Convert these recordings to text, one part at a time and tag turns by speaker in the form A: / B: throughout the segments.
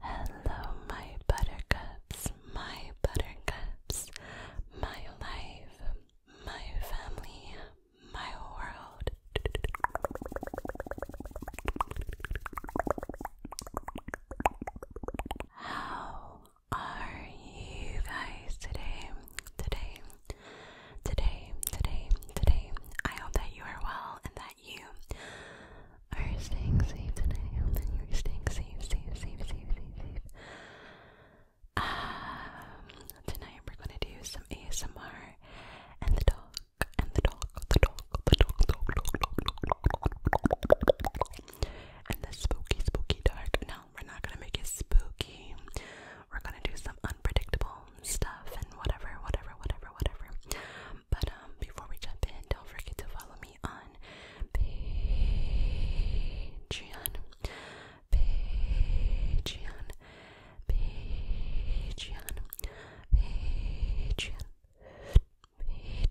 A: hello, my buttercups, my buttercups, my life, my family, my world. How are you guys today? Today, today, today, today. I hope that you are well and that you are staying safe today. I you're staying safe, safe, safe, safe, safe, safe. Um, tonight we're gonna do some ASMR and the dog, and the dog, the the dog, dog, dog, dog, and the spooky, spooky dark. No, we're not gonna make it spooky. We're gonna do some unpredictable stuff and whatever, whatever, whatever, whatever. But um, before we jump in, don't forget to follow me on Patreon. Patreon. Patreon. Patreon.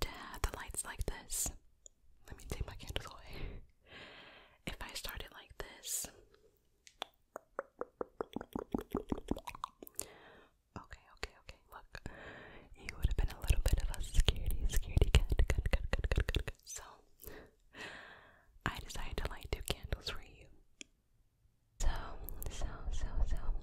A: to have the lights like this. Let me take my candles away. if I start like this. Okay, okay, okay. Look, you would have been a little bit of a security, security cat, cat, cat, cat, cat, cat, cat. So, I decided to light two candles for you. So, so, so, so.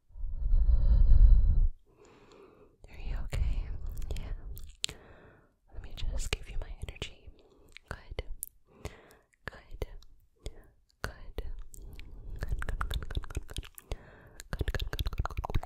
A: Are you okay? Yeah. Let me just give you my energy. Good. Good. Good. Good, good, good, good, good, good. Good, good, good, good, good, good.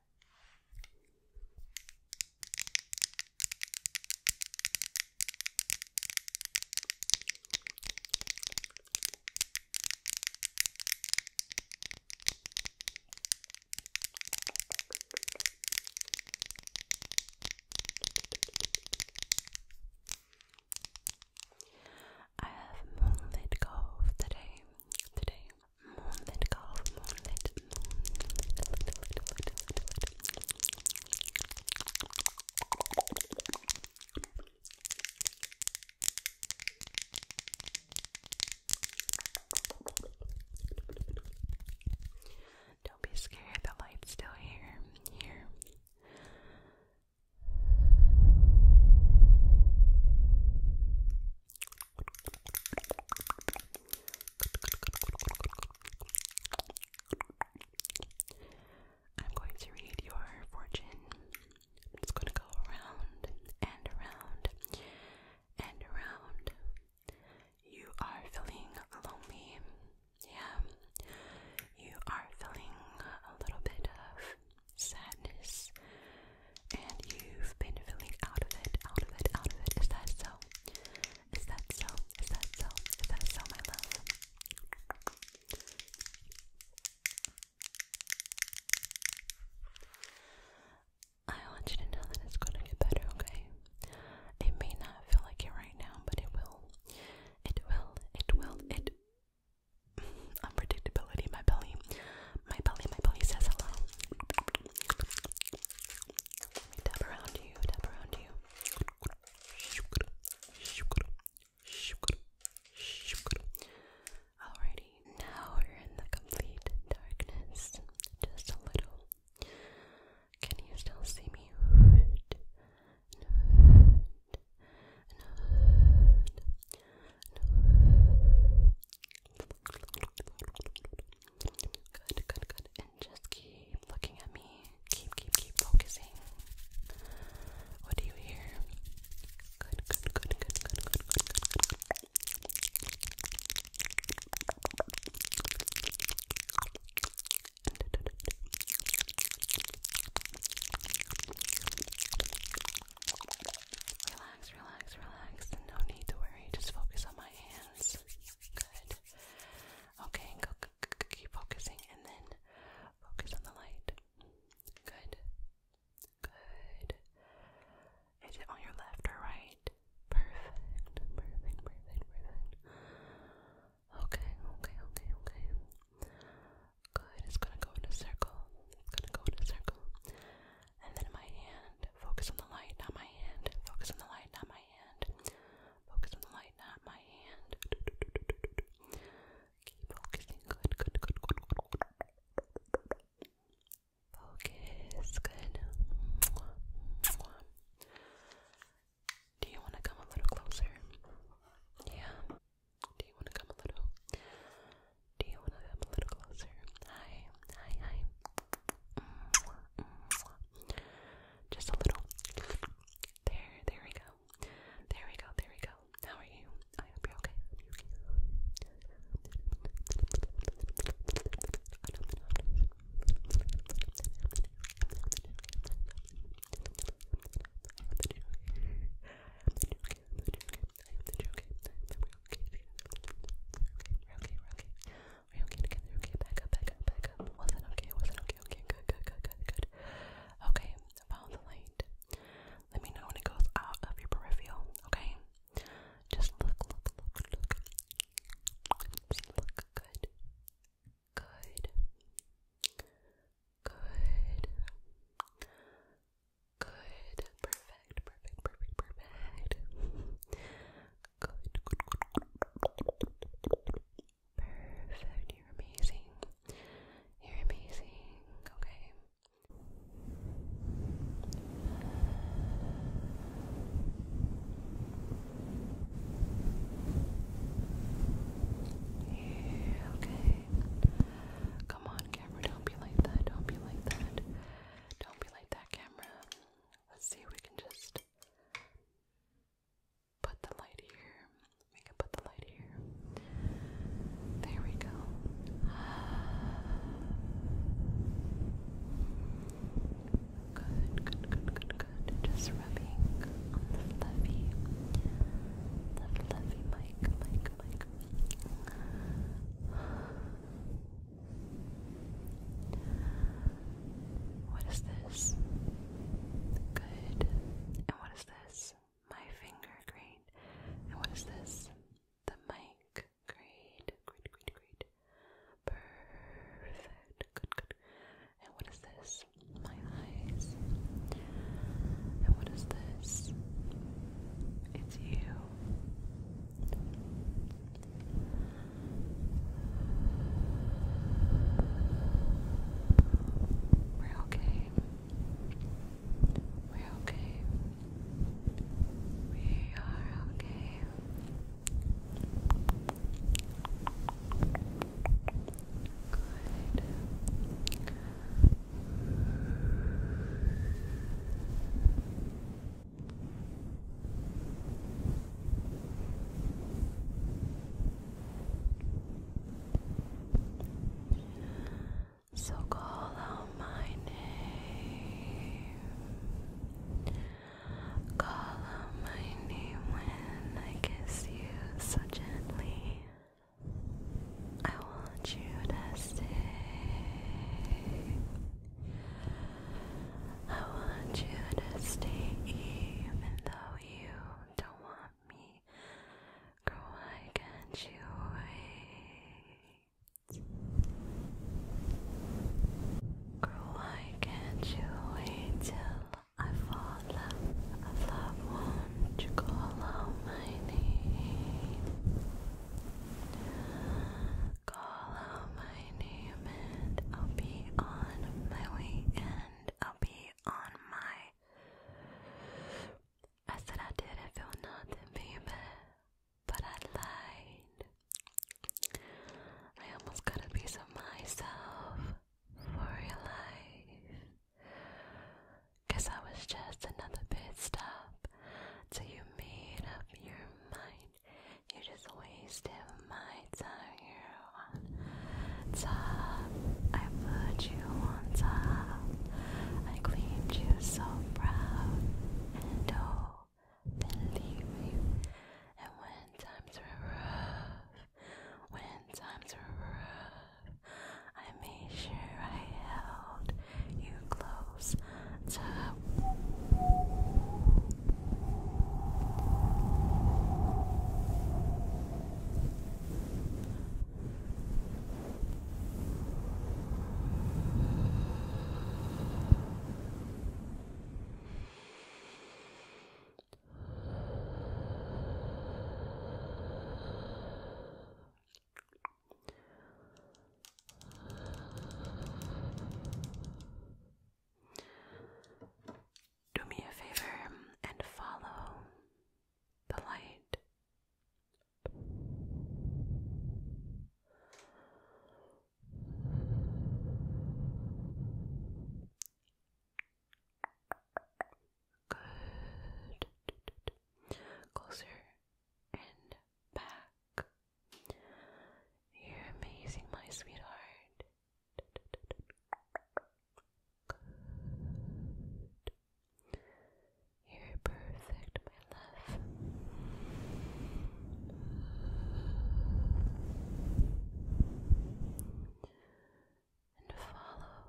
A: that. I have moonlit golf today, today, don't be scared, the light's still here, here. I'm going to read your fortune. i going to go around and around and around. You are feeling lonely. Yeah. You are feeling a little bit of sadness, and you've been feeling out of it, out of it, out of it. Is that so? Is that so? Is that so? Is that so, my love? I want you to know that it's gonna get better, okay? It may not feel like it right now, but it will. It will, it will, it unpredictability. My belly, my belly, my belly says hello. Tap around you, tap around you. Alrighty, now we're in the complete darkness. Just a little. Can you still see me? Good, good, good. And just keep looking at me. Keep, keep, keep focusing. What do you hear? Good, good, good, good, good, good, good, good, good. Relax, relax, relax. No need to worry. Just focus on my hands. Good. Okay, go, keep focusing and then focus on the light. Good. Good. Is it on your left or right? Perfect. Perfect, perfect, perfect. Okay, okay, okay, okay. Good. It's gonna go in a circle. It's gonna go in a circle and then my hand. Focus on the light, not my hand. Focus on the light, not my hand. Focus on the light, not my hand. Keep focusing. Good, good, good, good, good. Focus. Good. Do you want to come a little closer? Yeah. Do you want to come a little? Do you want to come a little closer? Hi, hi, hi. Mwah, mwah. Just a little. There, there we go. There we go, there we go. How are you? I hope you're okay. I hope you're okay okay together, okay, back up, back up, back up. Was it okay? Was it okay? Okay, good, good, good, good, good. Okay, follow the light. Let me know when it goes out of your peripheral, okay? Just look, look, look, look. Just look good. Good. Good. Good. Perfect. Perfect. Perfect. Perfect. Good. Perfect. You're amazing. You're amazing. Okay. Yeah, okay. Come on, camera. Don't be like that. Don't be like that. Don't be like that, camera. Let's see if we can just put the light here. We can put the light here. There we go. Good, good, good, good, good. Just rubbing on the fluffy, the fluffy mic, mic, what is this? Good. And what is this? My finger, great. And what is this? The mic, great. Great, great, great. Perfect. Good, good. And what is this? My eyes. And what is this? It's you. We're okay. We're okay. We are okay. Good. So call out my name. Call out my name when I kiss you so gently. I want you to stay. I want you to stay even though you don't want me. Girl, why can't you wait? Girl, why can't you wait till I fall in love? call out my name. Call out my name, and I'll be on my way, and I'll be on my. I said I didn't feel nothing, baby, but I lied. I almost got a piece of myself for your life. Cause I was just another pit stop you made up your mind. You just wasted my time. you on top. I put you on top. I claimed you so proud. And oh, then leave you. And when times were rough, when times were rough. I made sure I held you close to do me a favor and follow the light. Good. Closer and back. You're amazing, my sweetheart. You're perfect, my love. And follow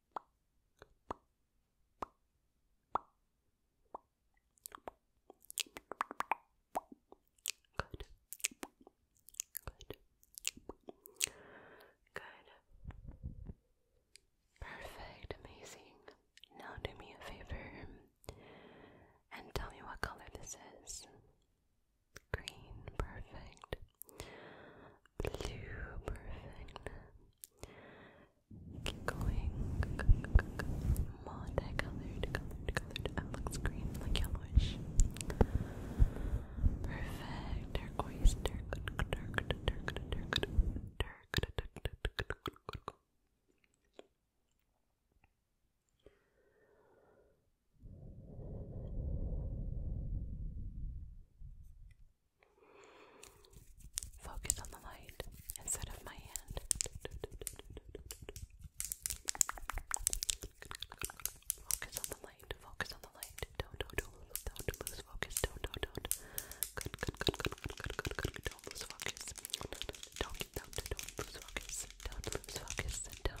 A: Good. Good. Good. Perfect, amazing. Now do me a favor and tell me what color this is. Green, perfect. Blue, perfect. Keep going. Multicolored, colored, colored. It looks green, like yellowish. Perfect. Turquoise, turquoise, Focus on the light instead of my hand. Focus on the light. Focus on the light. Don't, don't, do do focus. do do do Good, good, good, good, good, good, good, good. Don't lose focus. Don't, don't, don't lose do focus. Don't lose focus. Good, good,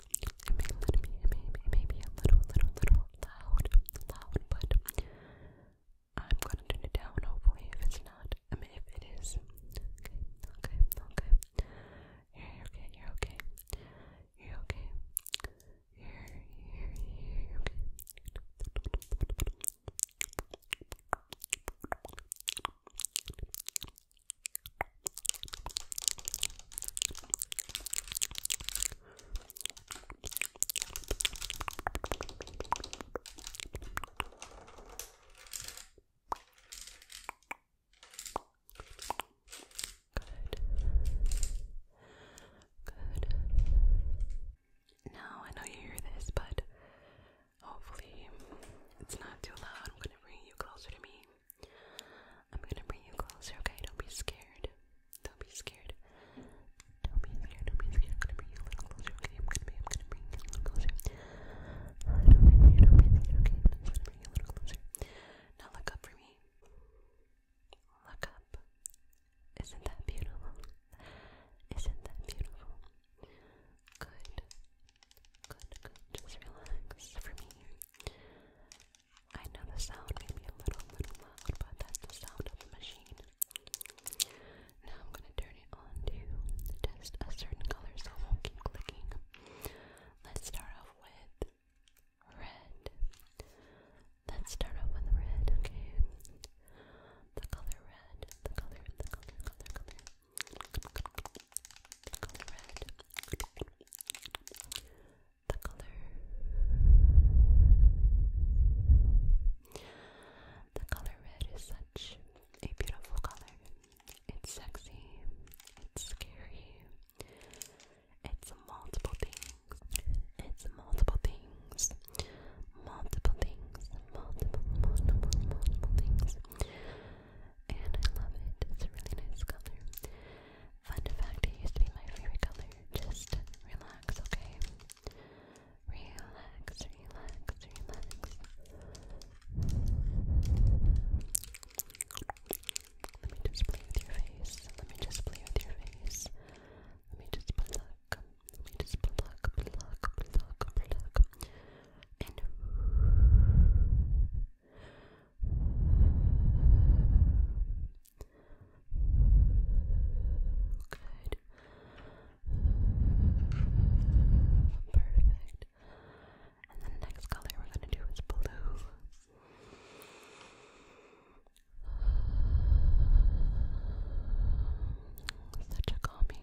A: may, it may, it may be a little, little, little loud, loud, but I'm gonna turn it down, hopefully, if it's not, I mean, if it is, okay, okay, okay, you're okay, you're okay, you're okay, you're, you're, you're okay. Good. Now I know you hear this, but hopefully it's not too loud. I'm gonna bring you closer to me. I'm gonna bring you closer, okay? Don't be scared. Don't be scared. Don't be scared, don't be scared. I'm gonna bring you a little closer, okay? I'm gonna be, I'm gonna bring you a little closer. don't be scared, don't be scared, okay? I'm gonna bring you a little closer. Now look up for me. Look up. Isn't that beautiful? Isn't that beautiful? Good. Good, good. Just relax for me. I know the sound may be a little, little loud, but that's the sound of the machine. Now I'm gonna turn it on to just a certain color, so I won't keep clicking. Let's start off with red. Let's start off with red, okay? The color red, the color the color red, the color, the color red is such a beautiful color. It's sexy, it's scary, it's multiple things, it's multiple things, multiple things, multiple, multiple, multiple things and I love it. It's a really nice color. Fun fact, it used to be my favorite color. Just relax, okay? Relax, relax, relax. Let me just play with your face. Let me just play with your face. Let me just pluck. Let me just pluck, pluck, pluck, pluck. And Good. Perfect. And the next color we're going to do is blue. Such a calming,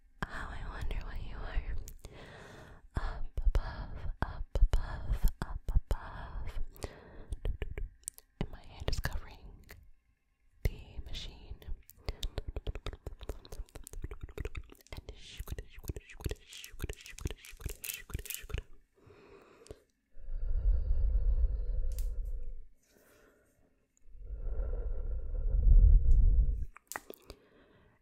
A: how I wonder what you are. Up above, up above, up above. And my hand is covering the machine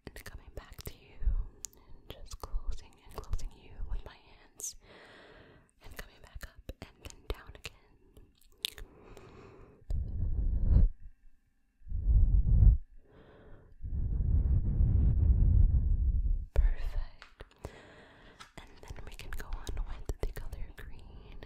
A: and coming back to you and just closing and closing you with my hands and coming back up and then down again. Perfect. And then we can go on with the color green.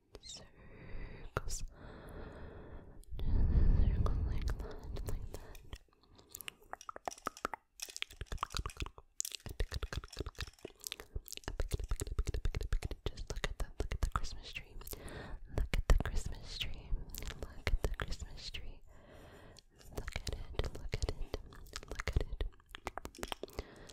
A: circles. Just like that, like that. Just look at the look at the Christmas tree. Look at the Christmas tree. Look at the Christmas tree. Look at it. Look at it. Look at it.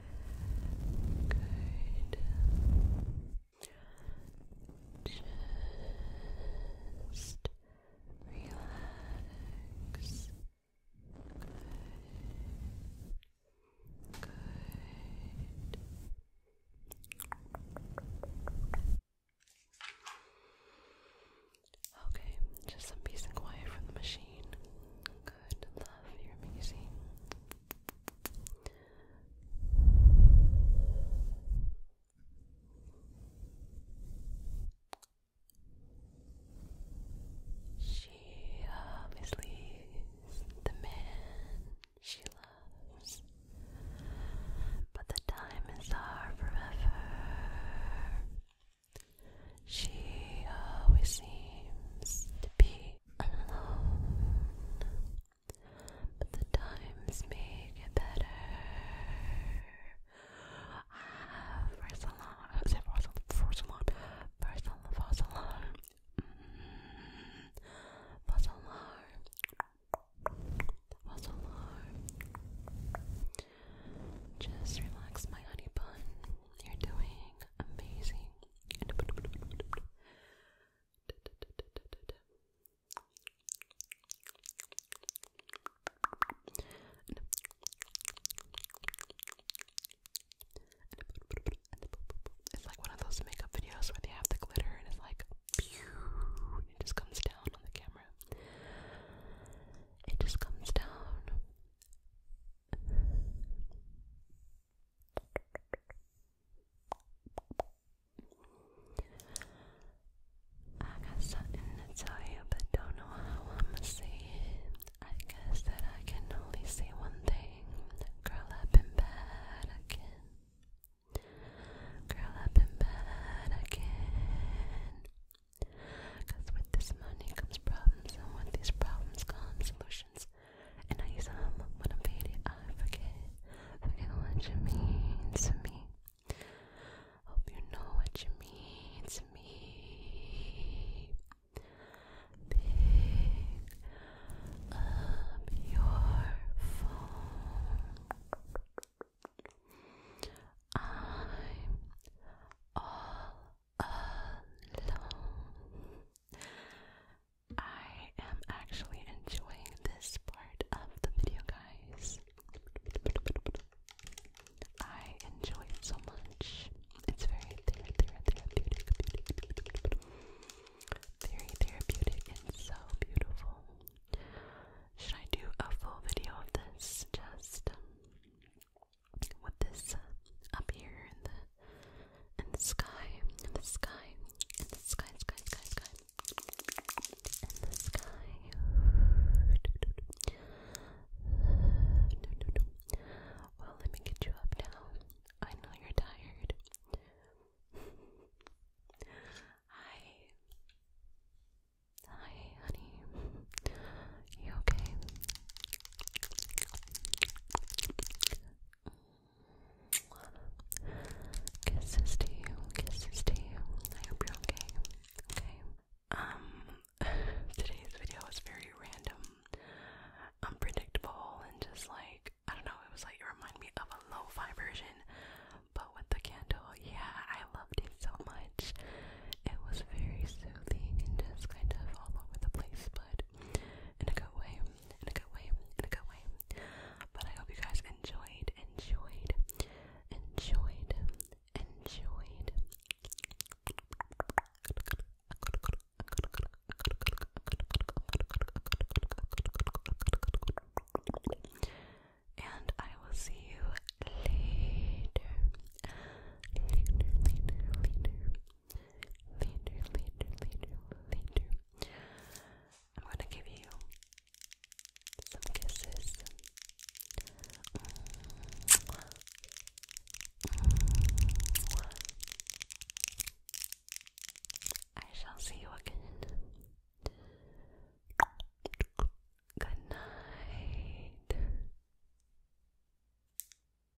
A: Good. Just relax. Good. Good. Okay, just some peace and quiet from the machine good. Love, you're amazing. She obviously is the man she loves, but the time is forever. She always seems to be alone, but the times make it better. Ah, for so long, I said for mm-hmm. Just relax, my honey bun. You're doing amazing. It's like one of those makeup videos where they have the glitter and it's like it just comes down on the camera. It just comes down. I got something to tell you, but don't know how to say it. I guess that I can only say one thing. Girl, I've been bad again. Girl, I've been bad again. with this money comes problems, and with these problems come solutions and I use um when I'm I forget, forget what you mean to me. Hope you know what you mean to me. Pick up your phone. I'm all alone. I am actually enjoying this part of the video, guys. I enjoy it so much. It's very therapeutic, very therapeutic, and so beautiful. Should I do a full video of this? Just um, with this uh, up here and the and the sky, and the sky, and the sky, sky, sky, sky, and the sky. Well, let me get you up now. I know you're tired. Hi. Hi, honey. You okay? Kisses to you, kisses to you. I hope you're okay. Okay. Um today's video was very random, unpredictable, and just like I don't know, it was like it reminded me of a lo-fi version, but with the candle, yeah, I loved it so much. It was very soothing and just kind of all over the place, but in a good way, in a good way, in a good way. But I hope you guys enjoyed, enjoyed, enjoyed, enjoyed. And I will see you later. Later, later, later later, later, later, later. I'm to give you some kisses. I shall see you again. Good night.